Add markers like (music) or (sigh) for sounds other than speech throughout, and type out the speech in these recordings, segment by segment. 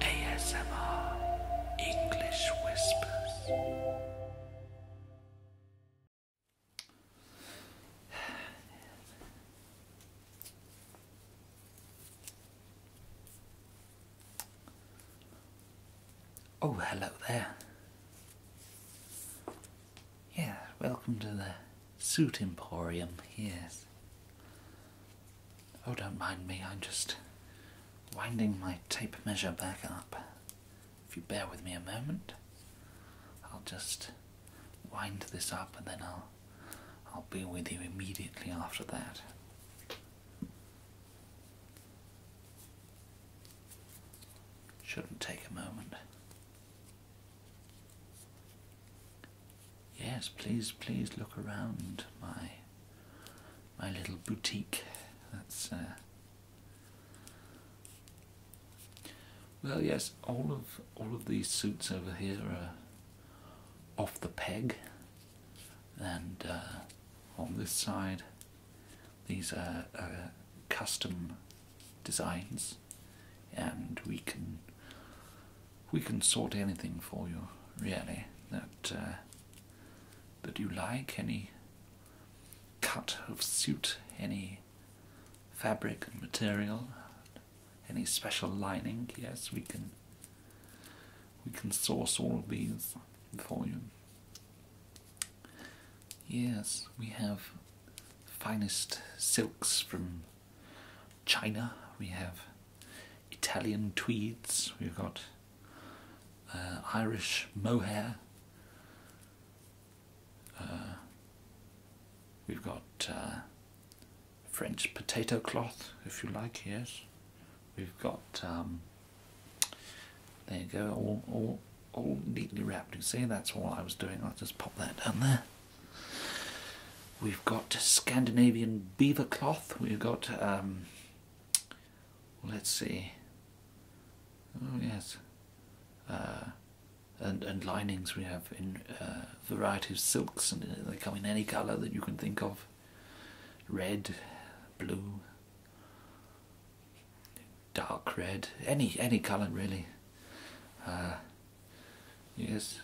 ASMR English Whispers. Oh, hello there. Yeah, welcome to the suit emporium. Yes. Oh, don't mind me, I'm just winding my tape measure back up. If you bear with me a moment, I'll just wind this up and then I'll I'll be with you immediately after that. Shouldn't take a moment. Yes, please, please look around my my little boutique. That's uh, well, yes. All of all of these suits over here are off the peg, and uh, on this side, these are custom designs, and we can we can sort anything for you, really, that uh, that you like. Any cut of suit, any fabric and material, any special lining. Yes, we can. We can source all these for you. Yes, we have finest silks from China, we have Italian tweeds, we've got uh, Irish mohair, uh, we've got uh, French potato cloth, if you like, yes. We've got, um, there you go, all, all, all neatly wrapped. You see, that's all I was doing. I'll just pop that down there. We've got Scandinavian beaver cloth. We've got, um, let's see. Oh yes, uh, and and linings we have in uh, variety of silks, and uh, they come in any colour that you can think of. Red, blue, dark red, any any colour really. Uh, Yes,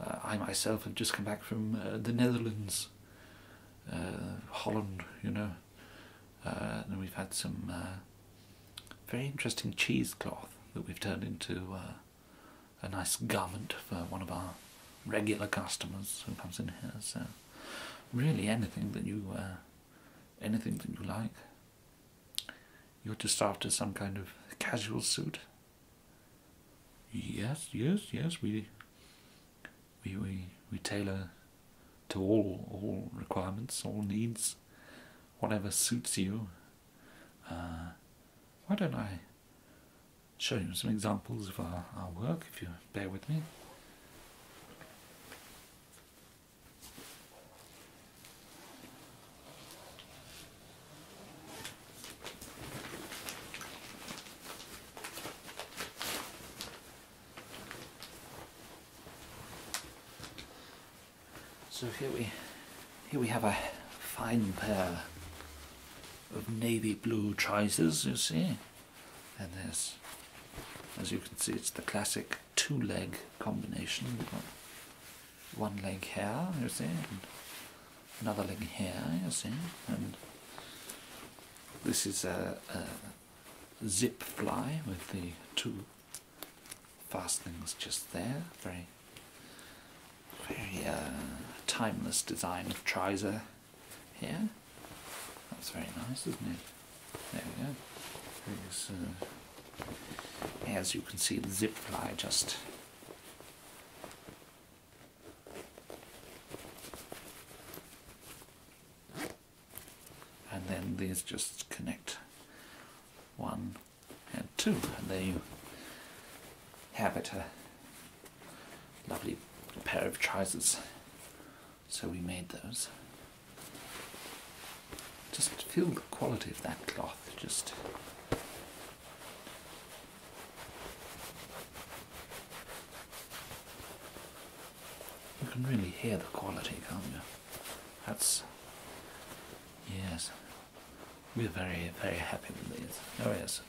uh, I myself have just come back from uh, the Netherlands, uh, Holland, you know. and we've had some very interesting cheesecloth that we've turned into a nice garment for one of our regular customers who comes in here. So, really, anything that you, anything that you like. You're just after some kind of casual suit. Yes, yes, yes. We we we tailor to all all requirements, all needs, whatever suits you. Uh, why don't I show you some examples of our, our work, if you bear with me? So here we, here we have a fine pair of navy blue trousers, you see. And there's, as you can see, it's the classic two-leg combination one leg here, you see, another leg here, you see, and this is a, zip fly with the two fastenings just there, very, very uh, timeless design of trouser here. That's very nice, isn't it? There we go. as uh, you can see, the zip fly just and then these just connect one and two and there you have it a lovely pair of trousers so we made those just feel the quality of that cloth just you can really hear the quality, can't you? That's yes. We're very, very happy with these. Oh yes.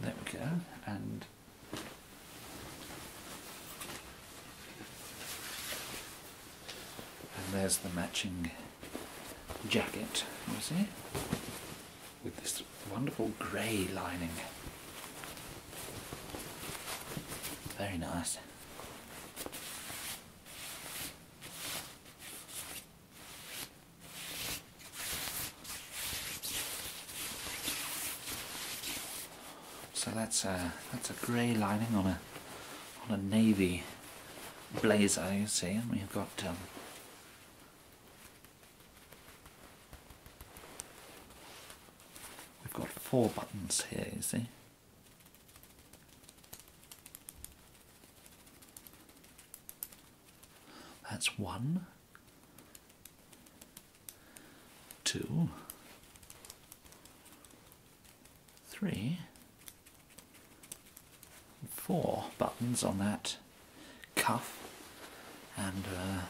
There we go. And and there's the matching jacket, you see, with this wonderful grey lining. Very nice. So that's a that's a grey lining on a on a navy blazer, you see, and we've got um, we've got four buttons here, you see. That's one, two, three, four buttons on that cuff, and uh,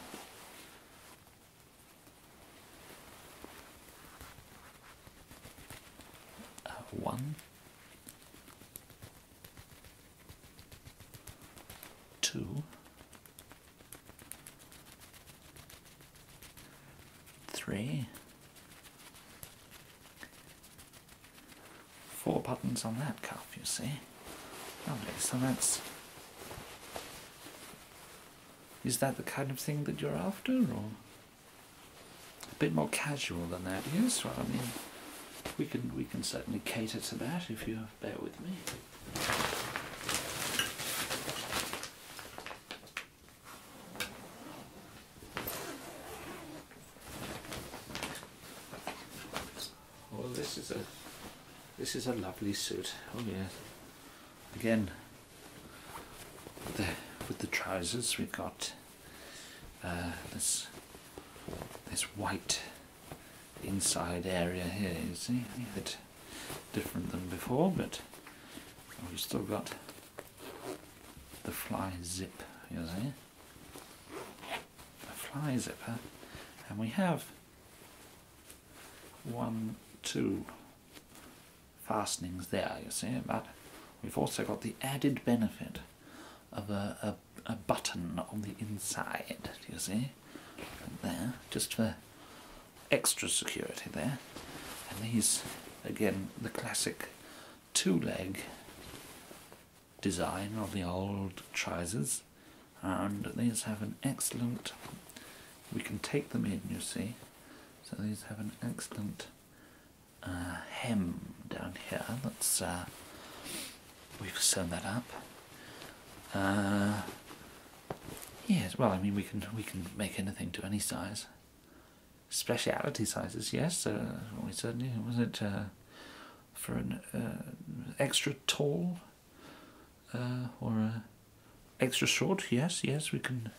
uh, one, two, three, Four buttons on that cuff, you see. Lovely, so that's. Is that the kind of thing that you're after, or? A bit more casual than that, yes? Well, I mean, we can, we can certainly cater to that if you bear with me. Well, this is a this is a lovely suit. Oh yeah. Again, with the trousers we've got uh, this this white inside area here. You see, a bit different than before, but we've still got the fly zip, you see. The fly zipper. And we have one, two fastenings there, you see, but we've also got the added benefit of a, a, button on the inside, you see, there, just for extra security there. And these, again, the classic two leg design of the old trousers and these have an excellent we can take them in you see so these have an excellent uh, hem down here that's uh, we've sewn that up uh, yes well I mean we can we can make anything to any size speciality sizes, yes. Uh, we certainly was it uh, for an uh, extra tall or extra short? Yes, yes, we can.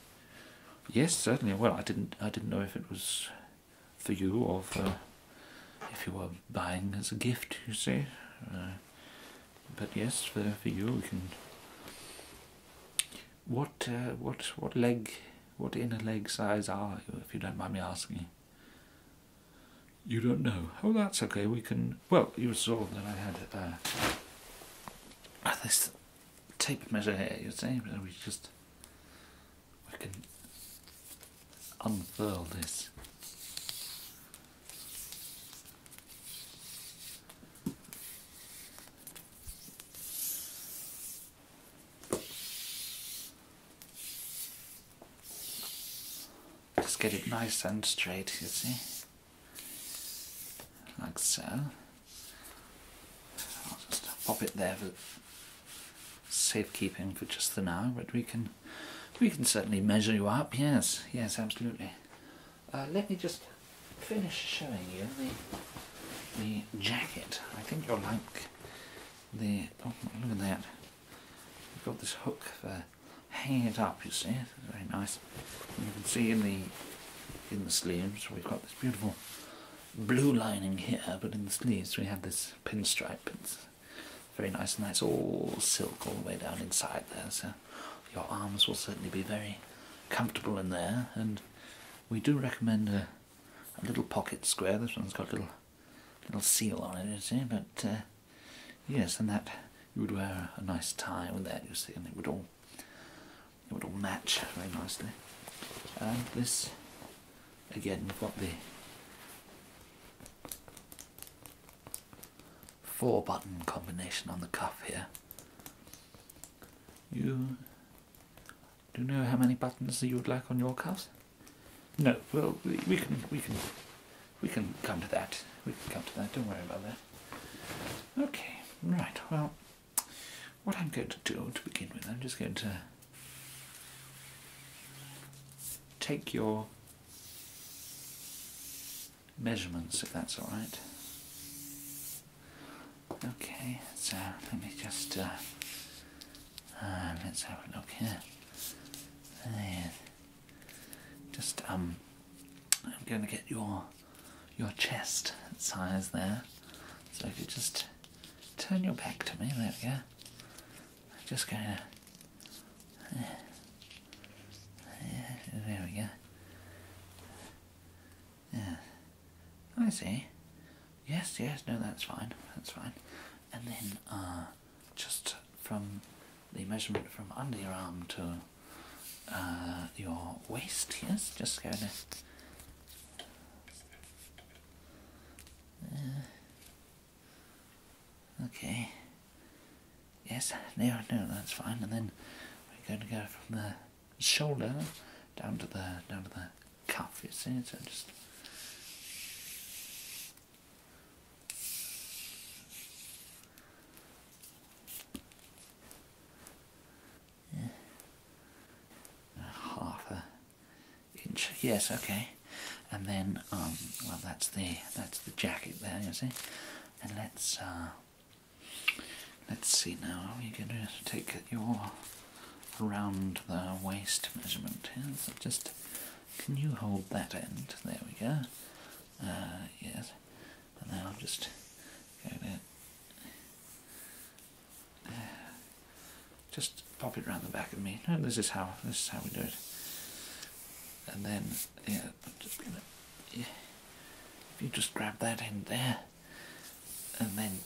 Yes, certainly. Well, I didn't, I didn't know if it was for you or if you were buying as a gift. You see, but yes, for for you we can what uh, what what leg what inner leg size are you if you don't mind me asking you don't know oh that's okay we can well you saw that i had uh, uh, this tape measure here you see we just we can unfurl this just get it nice and straight, you see, like so. I'll just pop it there for safekeeping for just the now, but we can we can certainly measure you up. Yes, yes, absolutely. Uh, let me just finish showing you the the jacket. I think you'll like the. Oh, look at that! we have got this hook for hanging it up. You see, very nice. you can see in the in the sleeves we've got this beautiful blue lining here, but in the sleeves we have this pinstripe. It's very nice, and that's all silk all the way down inside there. So your arms will certainly be very comfortable in there and we do recommend a, little pocket square. This one's got a little little seal on it, you see. But uh, yes, and that you would wear a, nice tie with that, you see, and it would all it would all match very nicely. And this, again, we've got the four button combination on the cuff here. You do know how many buttons you would like on your cuffs? No. Well, we, can we can we can come to that. We can come to that. Don't worry about that. Okay. Right. Well, what I'm going to do to begin with, I'm just going to take your measurements, if that's all right. Okay, so let me just uh, um, let's have a look here. Just um, I'm going to get your your chest size there. So if you just turn your back to me, there we go. just going to. there we go. Yeah. I see. Yes, yes, no, that's fine. That's fine. And then, uh, just from the measurement from under your arm to uh, your waist, yes, just go to. Uh, okay. Yes, no, no, that's fine. And then we're going to go from there shoulder down to the down to the cuff. You see, so just half a inch. Yes, okay. And then, um, well, that's the that's the jacket there. You see, and let's uh, Let's see now, are we going to take your around the waist measurement here? So just, can you hold that end? There we go. Uh, yes. And then I'll just go there. Uh, just pop it round the back of me. No, this is how this is how we do it. And then yeah, I'm just gonna yeah. If you just grab that end there and then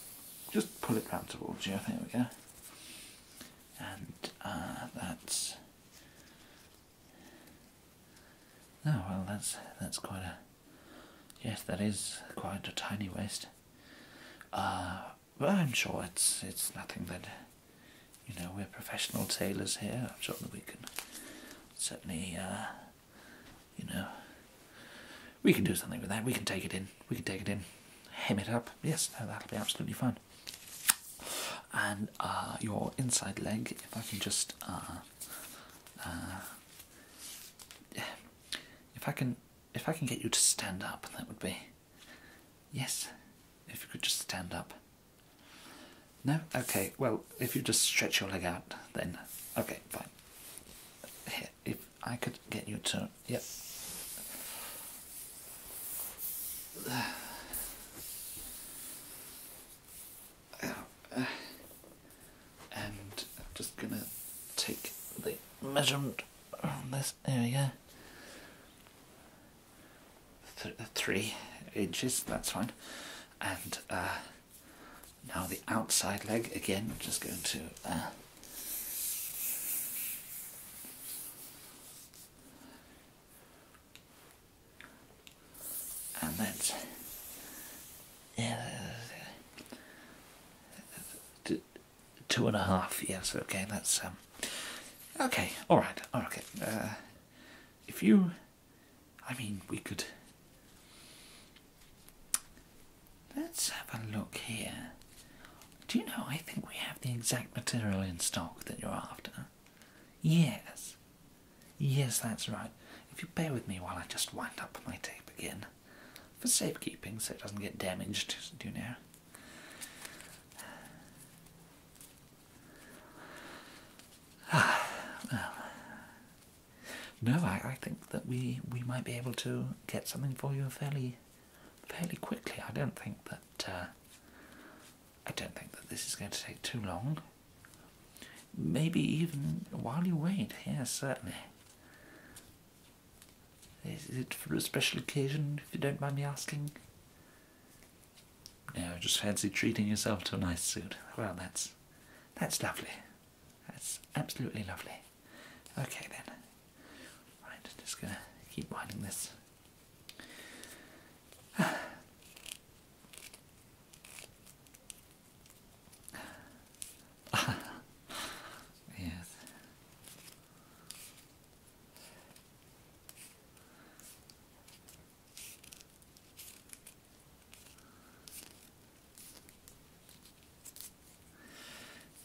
just pull it round towards you, there we go. And uh, that's. Oh well, that's that's quite a. Yes, that is quite a tiny waist. Uh, but I'm sure it's it's nothing that. You know, we're professional tailors here. i we can certainly uh, you know, we can do something with that. We can take it in. We can take it in, hem it up. Yes, that'll be absolutely fine. And uh, your inside leg, if I can just, uh, uh, if I can, if I can get you to stand up, that would be, yes, if you could just stand up. No? Okay, well, if you just stretch your leg out, then. Okay, fine. if I could get you to. Yep. And I'm just gonna take the measurement on this area. three inches, that's fine. And, uh, now the outside leg again, I'm just going to uh, and then yeah, and a half. Yes, okay. That's um, okay, all right, okay. Uh, if you I mean, we could. Let's have a look here. Do you know, I think we have the exact material in stock that you're after. Yes. Yes, that's right. If you bear with me while I just wind up my tape again. For safekeeping, so it doesn't get damaged, do you know? well, (sighs) no, I, I think that we we might be able to get something for you fairly fairly quickly. I don't think that uh, I don't think that this is going to take too long. Maybe even while you wait. Yes, certainly. Is it for a special occasion, if you don't mind me asking? Now, just fancy treating yourself to a nice suit. Well, that's that's lovely. That's absolutely lovely. Okay then. Right, just gonna keep winding this. (sighs) yes.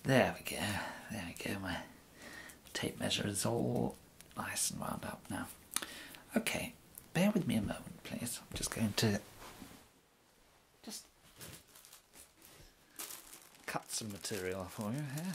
There we go, there we go, my tape measure is all nice and wound up now. Okay, bear with me a moment please, I'm just going to just cut some material for you here.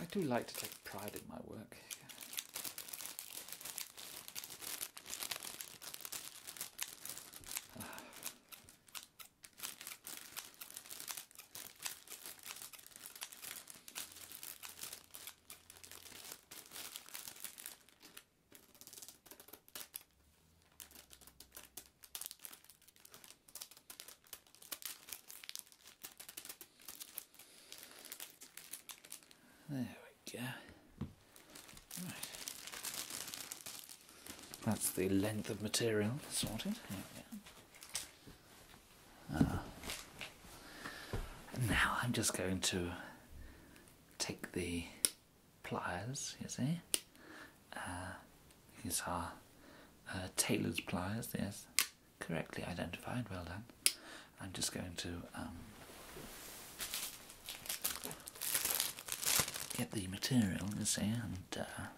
I do like to take pride in my work. There we go. Right. That's the length of material sorted. Ah. now I'm just going to take the pliers, you see. Uh, these are uh, tailor's pliers, yes correctly identified. Well done. I'm just going to um, get the material, and uh,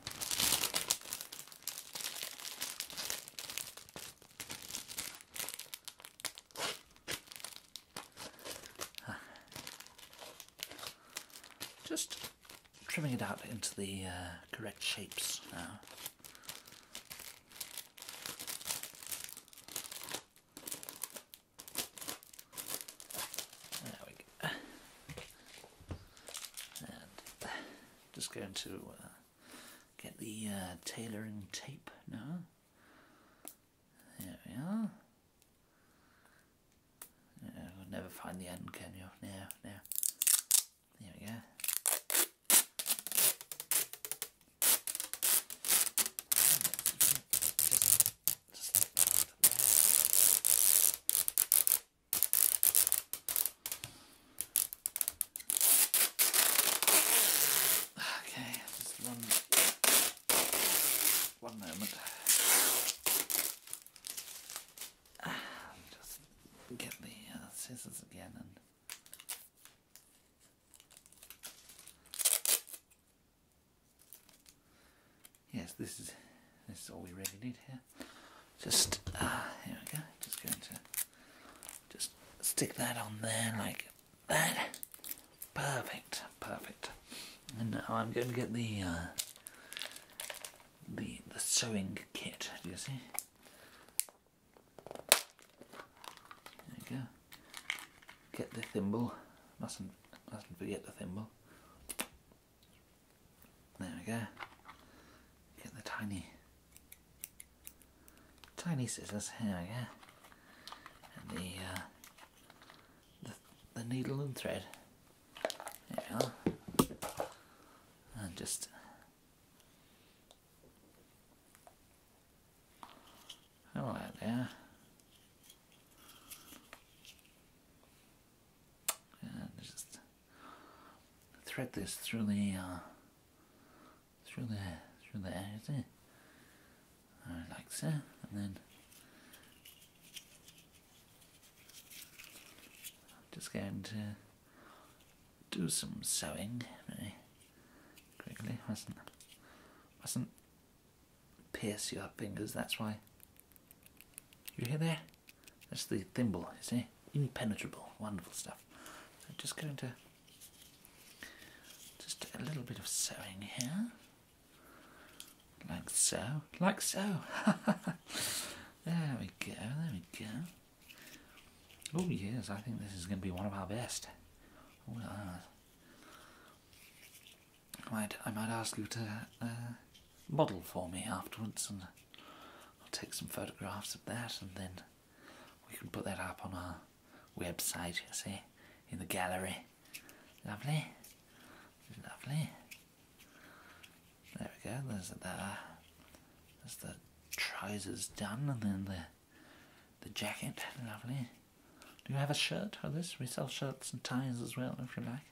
just trimming it out into the uh, correct shapes now. There we go. Uh, just going to uh, get the uh, tailoring tape now. There we are. No, will never find the end, can you? No, no. There we go okay, just one, one moment. Ah, just get the uh, scissors again and Yes, this is this is all we really need here. Just uh, here we go. Just going to just stick that on there like that. Perfect, perfect. And now I'm going to get the uh, the the sewing kit. Do you see? There you go. Get the thimble. Mustn't mustn't forget the thimble. There we go. Get the tiny tiny scissors. Here we go. And the uh, the the needle and thread. There we are. And just all right there. just thread this through the uh, through the through the area there. like so, and then just going to do some sewing very eh? quickly. Mustn't mustn't pierce your fingers. That's why. You hear there? That's the thimble. You see, impenetrable. Wonderful stuff. just going to just a little bit of sewing here, like so, like so. (laughs) there we go. There we go. Oh yes, I think this is going to be one of our best. Oh, I might, I might ask you to uh, model for me afterwards, and take some photographs of that, and then we can put that up on our website, you see, in the gallery. Lovely. Lovely. There we go, there's the, trousers done and then the, the jacket, lovely. Do you have a shirt for this? We sell shirts and ties as well if you like.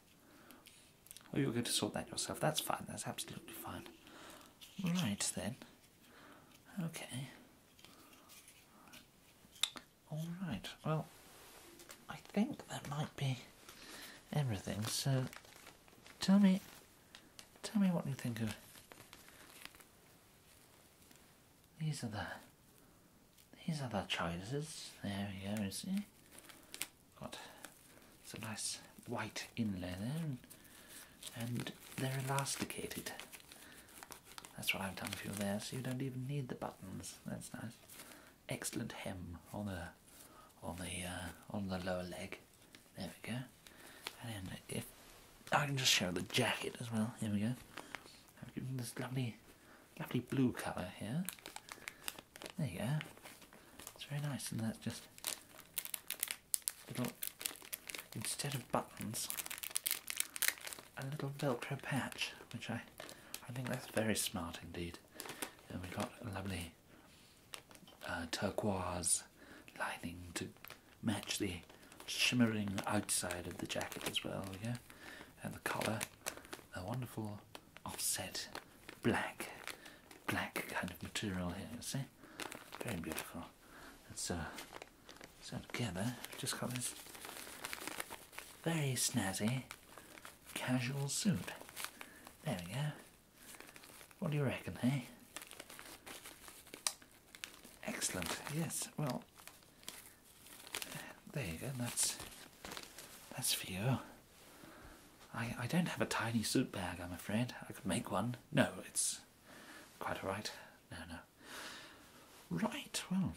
Or oh, you're going to sort that yourself. That's fine, that's absolutely fine. Right then. Okay. Alright, well, I think that might be everything. So, tell me Tell me what you think of. These are the. These are the choices. There we go. You see, got it's a nice white inlay there, and, they're elasticated. That's what I've done for you there, so you don't even need the buttons. That's nice. Excellent hem on the on the uh, on the lower leg. There we go. And then if I can just show the jacket as well. Here we go. I've given this lovely, lovely blue colour here. There you go. It's very nice, and that's just little instead of buttons, a little Velcro patch, which I I think that's very smart indeed. And we've got a lovely uh, turquoise lining to match the shimmering outside of the jacket as well, yeah? And the collar, a wonderful offset black, black kind of material here, see? Very beautiful. It's uh, so together, just got this very snazzy casual suit. There we go. What do you reckon, hey? Excellent, yes, well, there you go, that's, that's for you. I, I don't have a tiny suit bag, I'm afraid. I could make one. No, it's quite alright. No, no. Right, well,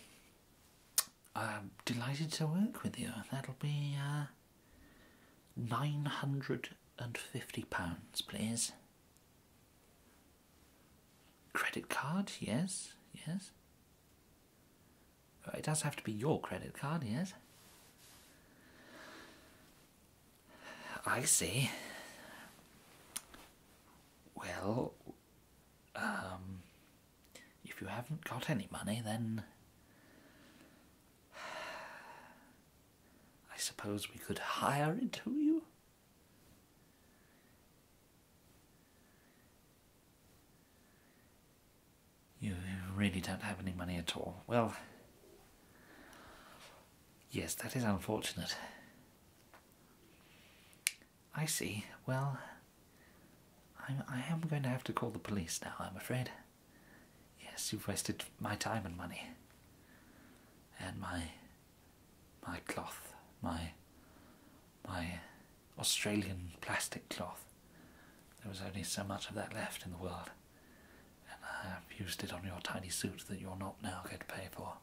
I'm delighted to work with you. That'll be, uh, Nine hundred and fifty pounds, please. Credit card, yes, yes. Oh, it does have to be your credit card, yes. I see. Well, um, if you haven't got any money, then I suppose we could hire it to you? You really don't have any money at all. Well, yes, that is unfortunate. I see. Well, I am going to have to call the police now, I'm afraid. Yes, you've wasted my time and money. And my my cloth, my my Australian plastic cloth. There was only so much of that left in the world. And I have used it on your tiny suit that you're not now going to pay for.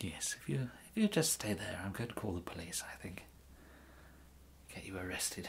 Yes, if you if you just stay there, I'm going to call the police, I think. Get you arrested.